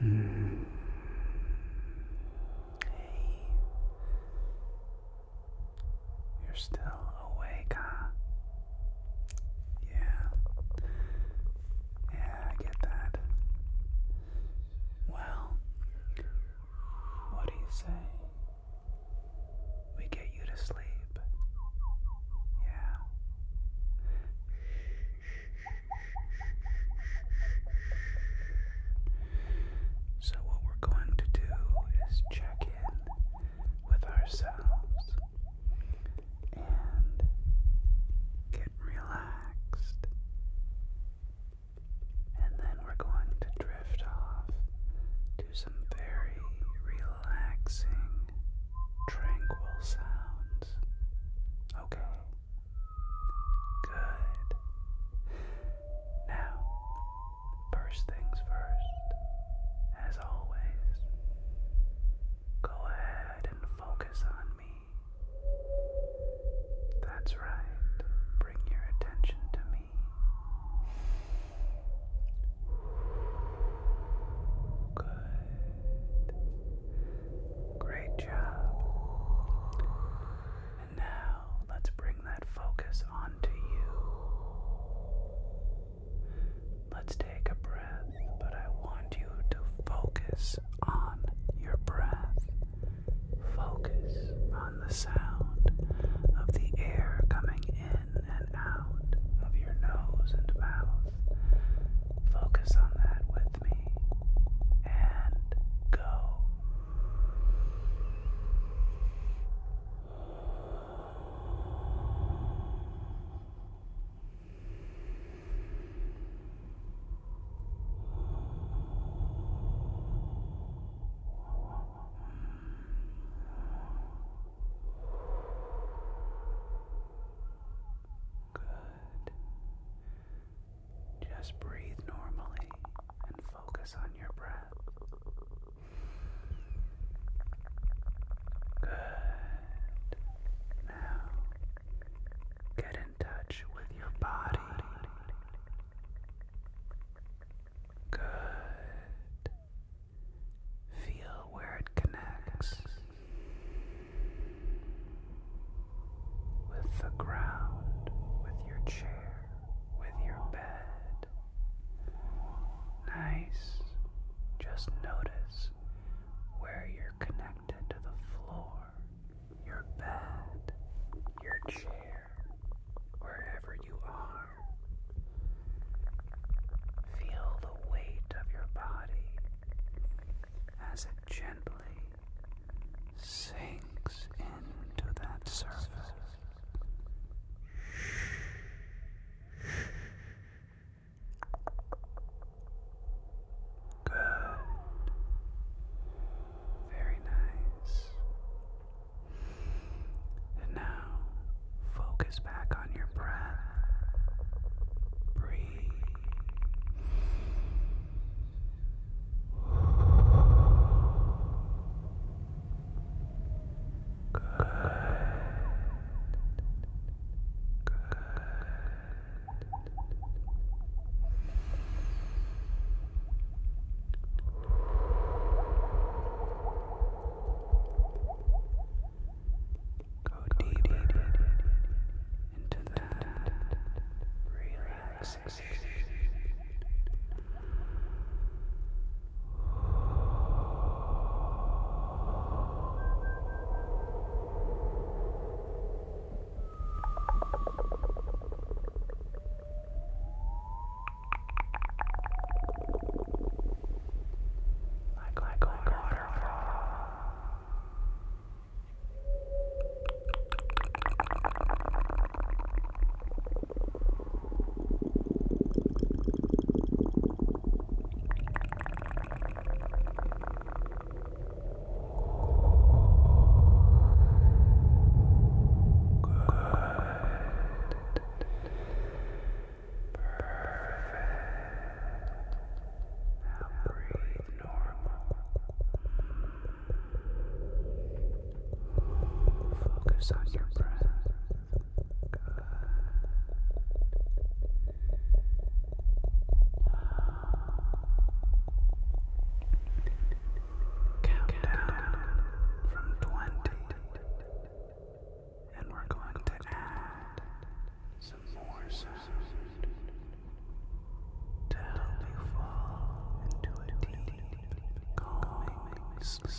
Hmm. You're still awake, Yeah. Yeah, I get that. Well, what do you say? We get you to sleep. Yeah. So, what we're going to do is check in with ourselves and get relaxed. And then we're going to drift off to some very relaxing, tranquil sounds. Okay. Good. Now, first things first, as always, Go ahead and focus on me. That's right. Bring your attention to me. Good. Great job. now let's bring that focus onto you. Let's take a breath, but I want you to focus on your breath. Focus on the sound of the air coming in and out of your nose and mouth. Focus on that with me and go. Good. Just breathe normally and focus on your breath. Good. Now, get in touch with your body. Good. Feel where it connects with the ground, with your chair, with your bed. Nice just notice where you're connected to the floor, your bed, your chair, wherever you are. Feel the weight of your body as it gently sinks into that surface. Good. Very nice. And now focus back on your breath. Breathe. Good. Good. Go deeper into that relaxation. Like, like, like waterfall breathe normal. Focus on your breath. Countdown from 20. And we're going to add some more sound to you fall into a deep, calming sleep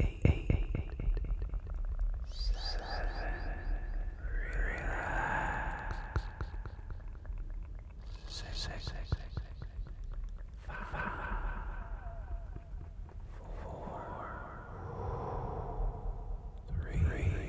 eight, eight, eight, eight, eight, eight seven. Relax. Six, six, six, six, six, five, four, three, two, one.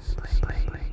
Sleep. Sleep. Relax.